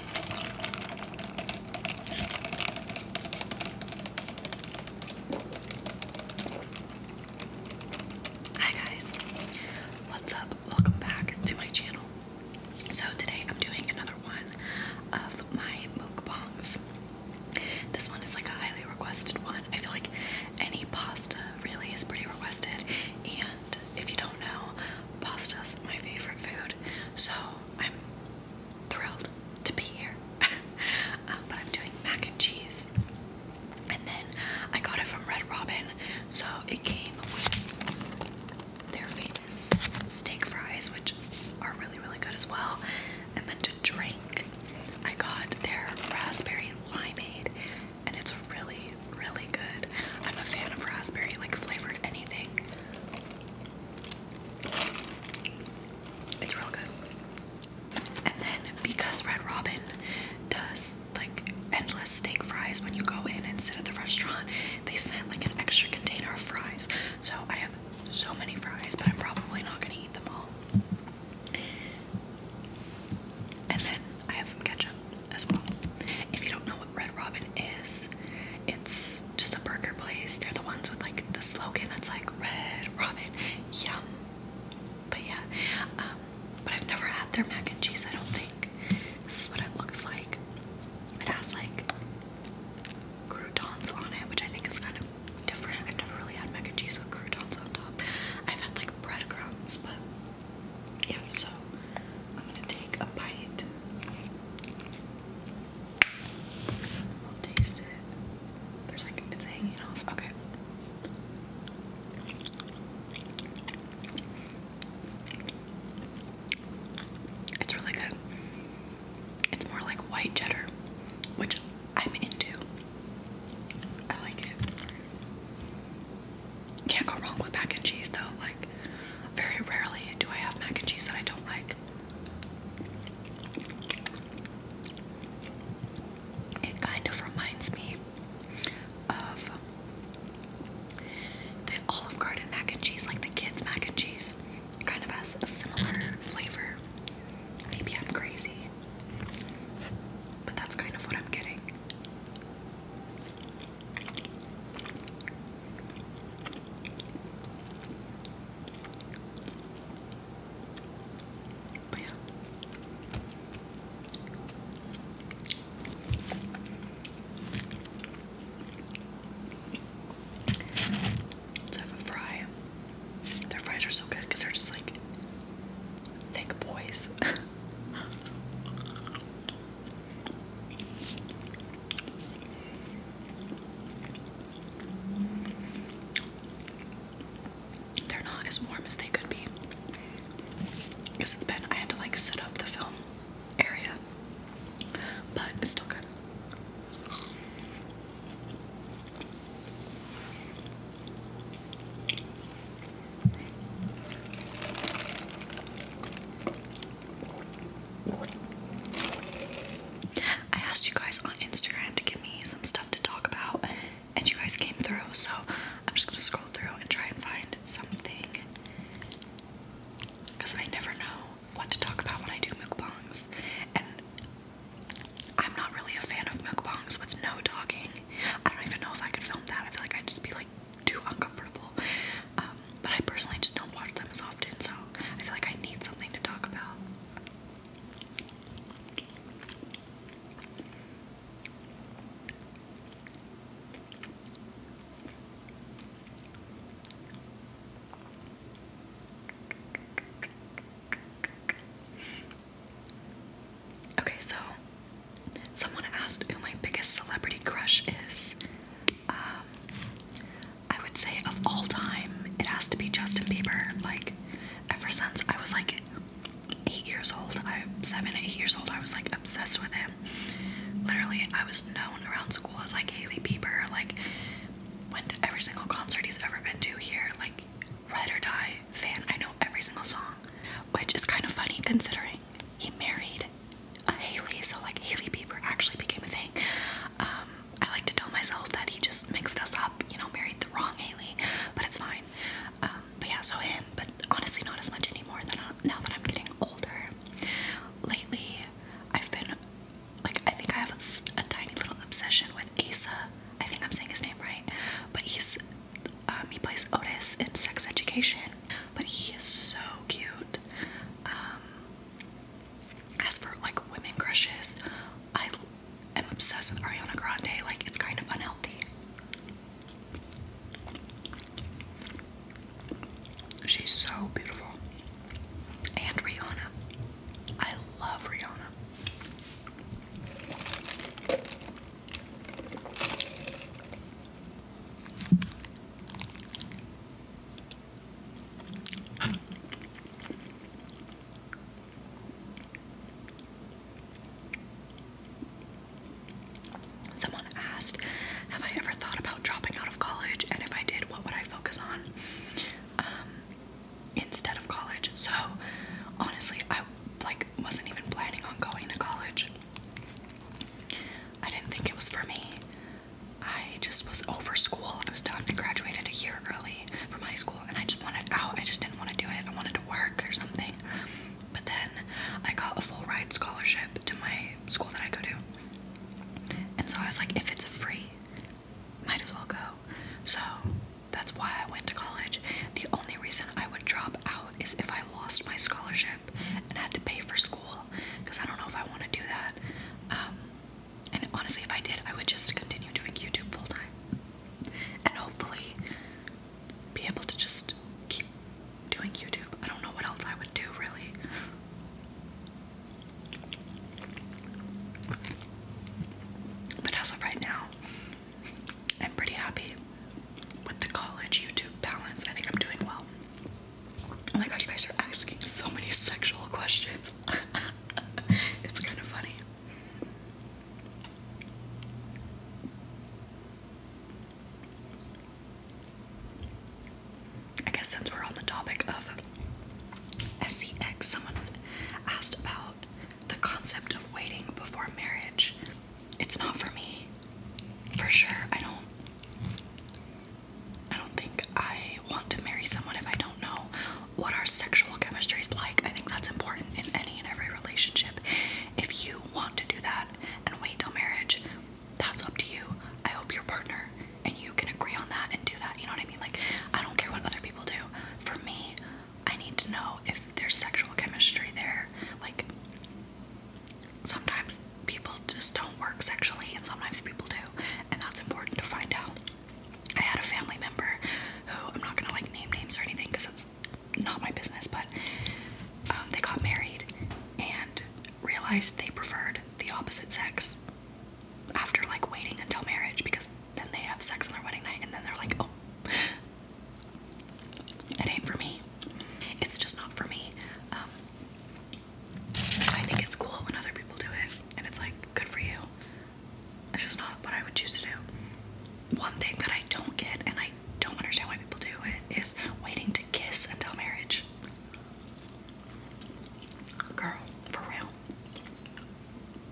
Hi guys, what's up? Welcome back to my channel. So today I'm doing another one of my mukbangs. This one is like a highly requested one. I feel like any pasta really is pretty requested, and if you don't know, Pasta's my favorite food, so I'm thrilled to be here. Um, but I'm doing mac and cheese, and then I got it from Red Robin, so it came with their famous steak fries, which are really, really good as well. And then to drink, I got their raspberry limeade, and it's really really good. I'm a fan of raspberry, like flavored anything. It's real good. And then because Red Robin does like endless steak fries when you go in and sit at the restaurant, they sent like an extra container of fries. So I have so many fries, but I'm probably not gonna eat them all. And then I have some ketchup as well. If you don't know what Red Robin is, it's just a burger place. They're the ones with like the slogan that's like Red Robin, yum. But yeah, um, but I've never had their mac and cheese, I don't think. This is what it looks like. It has like croutons on it, which I think is kind of different. I've never really had mac and cheese with croutons on top. I've had like breadcrumbs, but yeah, so I'm gonna take a bite. I'll taste it. There's like it's hanging off. Okay. It's really good. It's more like white cheddar, which I'm into. I like it. Can't go wrong with mac and cheese though. Like, very rarely do I have mac and cheese that I don't like. It kind of reminds me of the Olive Garden mac and cheese, like the kids' mac and cheese. It kind of has a similar flavor. Maybe I'm crazy, but that's kind of what I'm getting. But yeah. Let's have a fry. Their fries are so good because they're just like thick boys. They're not as warm as they could be. Because it's been, I had to like set up the film area. But it's still good. I asked you guys on Instagram to give me some stuff to talk about, and you guys came through, so I'm just gonna scroll through and try and find something. Because I never know what to talk about when I do mukbangs, and I'm not really a fan of mukbangs with no talking. I don't even know if I could film that. I feel like I'd just be like too uncomfortable. Um, but I personally just don't watch them as often, so I feel like I need something to talk about. Okay, so Someone asked who my biggest celebrity crush is. Um, I would say of all time, it has to be Justin Bieber. Like, ever since I was like eight years old, I seven, eight years old, I was like obsessed with him. Literally, I was known around school as like Haley Bieber. Like, went to every single concert he's ever been to here. Like, ride or die fan. I know every single song, which is kind of funny considering he married a Haley, so like Haley Bieber actually became a thing. Um, I like to tell myself that he just mixed us up, you know, married the wrong Haley, but it's fine. Um, but yeah, so him, but honestly, not as much anymore. Than uh, now that I'm getting older, lately I've been like I think I have a tiny little obsession with Asa. I think I'm saying his name right, but he's um, he plays Otis in Sex Education, but he is so cute. Um, as for like women crushes, I am obsessed with Ariana Grande. Like it's kind of unhealthy. She's so beautiful. And Rihanna. I love Rihanna. Someone asked, Have I ever thought about dropping out of college? And if I did, what would I focus on um, instead of college? So, honestly, I like wasn't even planning on going to college. I didn't think it was for me. I just was over school. I was done. I graduated a year early from high school and I just wanted out. I just didn't want to do it. I wanted to work or something. But then I got a full ride scholarship to my school that I go to. And so I was like, if it's free, might as well go. So that's why I went to college. The only reason I would drop out is if I lost my scholarship and had to pay for school because I don't know if I want to do that. Um, and honestly, if I did, I would just continue doing YouTube full time and hopefully be able to just keep doing YouTube. I don't know what else I would do, really. But as of right now, I'm pretty happy with the college YouTube balance. I think I'm doing well. Oh my god, you guys are asking so many sexual questions. it's kind of funny. I guess since we're on the topic of SEX, someone asked about the concept of waiting before marriage it's not for me. For sure. I don't I don't think I want to marry someone if I don't know what our sexual chemistry is like. I think that's important in any and every relationship. If you want to do that and wait till marriage, that's up to you. I hope your partner and you can agree on that and do that. You know what I mean? Like, I don't care what other people do. For me, I need to know if there's sexual chemistry there. Like, sometimes people just don't work sexually, and sometimes people do, and that's important to find out. I had a family member who I'm not gonna like name names or anything because it's not my business, but um, they got married and realized they preferred the opposite sex after like waiting until marriage because then they have sex on their wedding night and then they're like, oh, it ain't for me. It's just not for me. Um, I think it's cool when other people do it, and it's like good for you. It's just not what I would choose to do. One thing that I don't get, and I don't understand why people do it, is waiting to kiss until marriage. Girl, for real.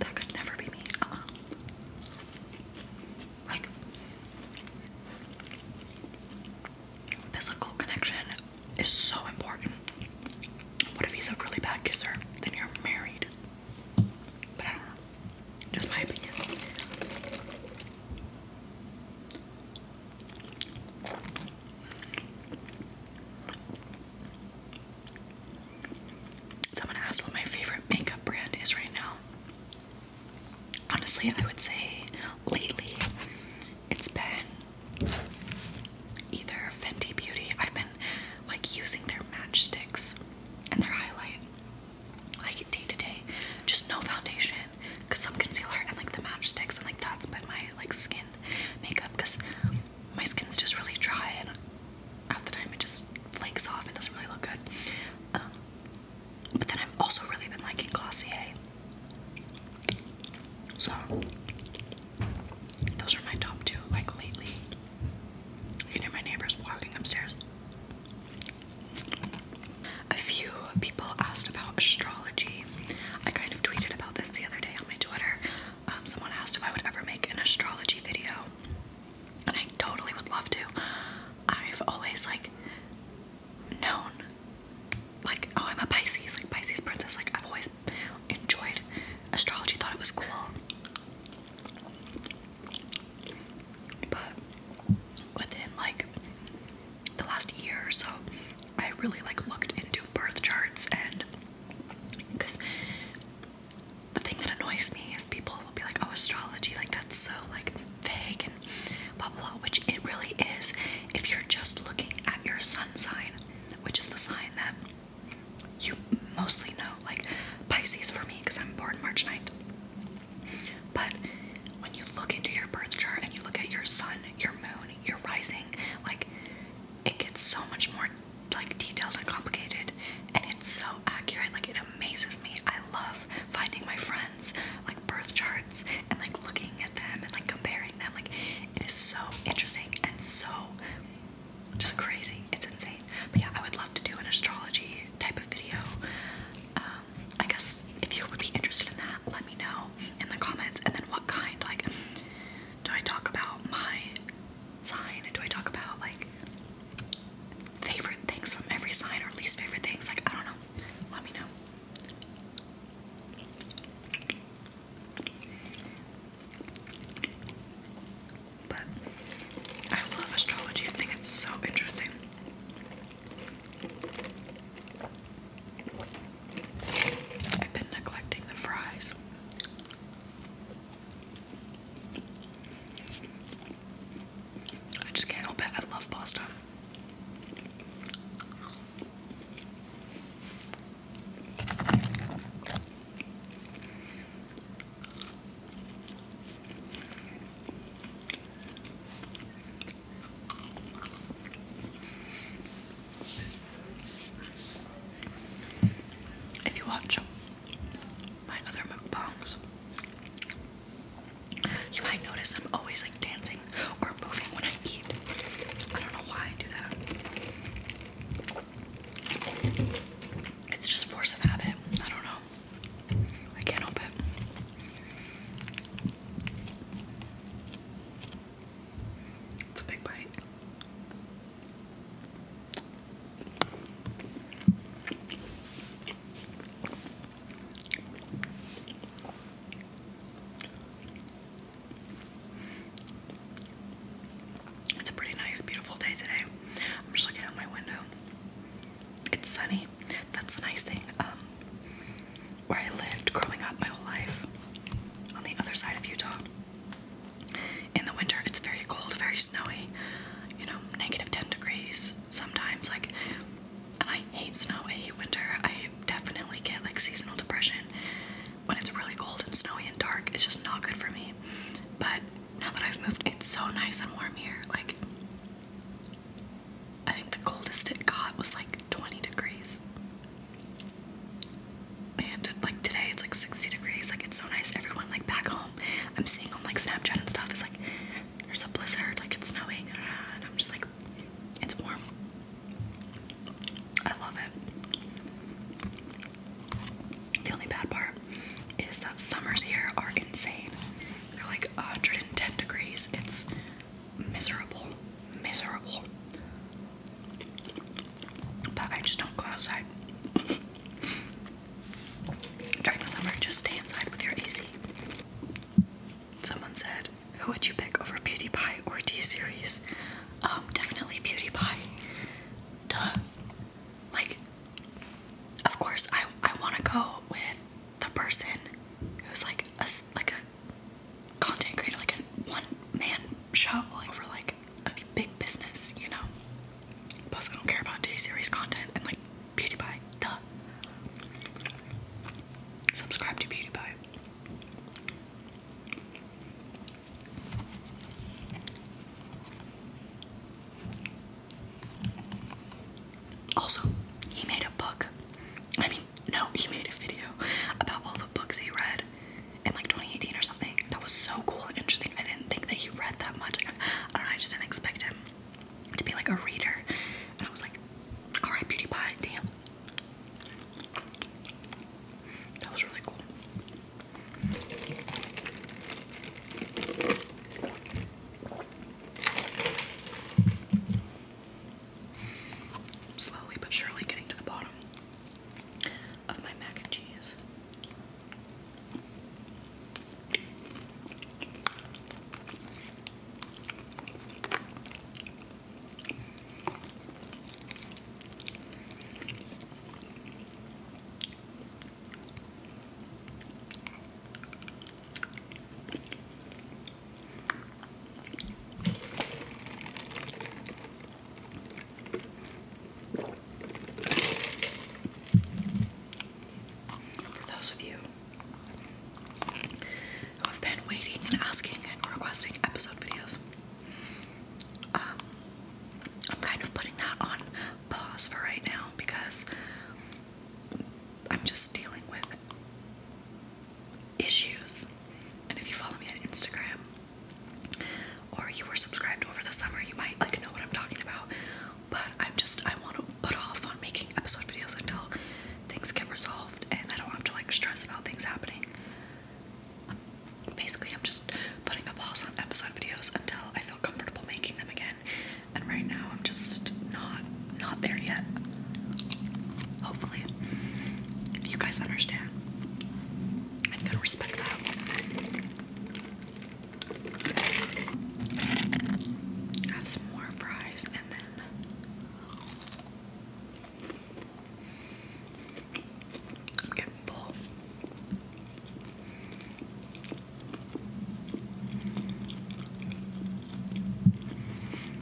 That could never be me. Uh-uh. Like, physical connection is so important. What if he's a really bad kisser? Then you're married. But I don't know. Just my opinion. Someone asked what my favorite makeup brand is right now. Honestly, I would say lately it's been either Fenty Beauty. I've been like using their matchsticks and their highlight like day to day. Just no foundation, cause i I'm concealer and like the matchsticks and like that's been my like skin makeup because my skin's just really dry and half the time it just flakes off and doesn't really look good. Um, but then I've also really been liking Glossier. So those are my top two, like lately. You can hear my neighbors walking upstairs. A few people asked about astrology. I kind of tweeted about this the other day on my Twitter. Um, someone asked if I would ever make an astrology video and I totally would love to. I've always like known like oh I'm a Pisces, like Pisces princess, like I've always enjoyed astrology, thought it was cool. But within like the last year or so, I really like looked into birth charts and because the thing that annoys me is people will be like, oh, astrology, like that's so like vague and blah blah blah, which it really is if you're just looking at your sun sign, which is the sign that you mostly know, like Pisces for me, because I'm born March 9th. But when you look into your birth chart and you look at your sun, your moon, your rising, like it gets so much more like detailed and complicated and it's so accurate like it amazes me i love finding my friends like birth charts and like looking at them and like comparing them like it is so interesting and so just crazy it's insane but yeah i would love to do an astrology type of video um i guess if you would be interested in that let me know in the comments and then what kind like do i talk about my sign? and Do I talk about like favorite things from every sign or least favorite things? Like, I don't know. Let me know. But I love astrology, I think it's so interesting. I've been neglecting the fries. I just can't help it. I love pasta. If you watch my other mukbangs, you might notice I'm always like dancing or moving when I eat. I don't know why I do that. It's just force habit. I don't know. I can't help it. It's a big bite. It's a pretty nice, beautiful day today. I'm just looking out my window. It's sunny. That's the nice thing. Um, where I lived growing up my whole life on the other side of Utah, in the winter, it's very cold, very snowy, you know, negative 10 degrees sometimes. Like, and I hate snow, I hate winter. I definitely get like seasonal depression when it's really cold and snowy and dark. It's just not good for me. But now that I've moved, it's so nice and warm here. Like, I think the coldest it got was like 20 degrees. And like today it's like 60 degrees, like it's so nice. Everyone like back home, I'm seeing on like Snapchat and stuff, it's like there's a blizzard, like it's snowing, and I'm just like, it's warm. I love it. The only bad part is that summers here are insane. They're like 110 degrees. It's miserable. Miserable. But I just don't go outside. During the summer, just stay inside with your AC. Someone said, Who would you pick over Beauty Pie or D series? Um, definitely Beauty Pie. Duh. Like, of course, I, I want to go with the person who's like a, like a content creator, like a one man shoveling for like a big business, you know. Plus, I don't care about T series content and like PewDiePie. Duh. Subscribe to PewDiePie. Also, he made a book. I mean, no, he made a video about all the books he read in like 2018 or something. That was so cool and interesting. I didn't think that he read that much. I, I don't know, I just didn't expect him to be like a reader. And I was like, alright, Beauty Pie, damn. That was really cool. Slowly but surely getting to the bottom of my mac and cheese. For those of you who have been waiting and asking and requesting episode videos, um, I'm kind of putting that on pause for right now because I'm just dealing with issues. And if you follow me on Instagram, or you were subscribed over the summer, you might like know what I'm talking about. But I'm just I want to put off on making episode videos until things get resolved and I don't have to like stress about things happening. Basically, I'm just putting a pause on episode videos until I feel comfortable making them again. And right now, I'm just not not there yet. Hopefully, you guys understand. I am gonna respect that. Add some more fries and then I'm getting full.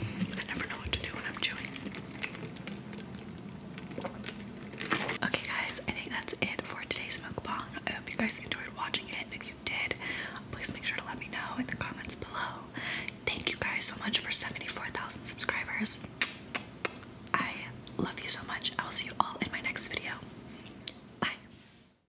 I never know what to do when I'm chewing. Okay, guys, I think that's it for today's mukbang. I hope you guys enjoyed watching it. If you did, please make sure to let me know in the comments below. Thank you guys so much for 74,000 subscribers. I love you so much. I'll see you all in my next video. Bye.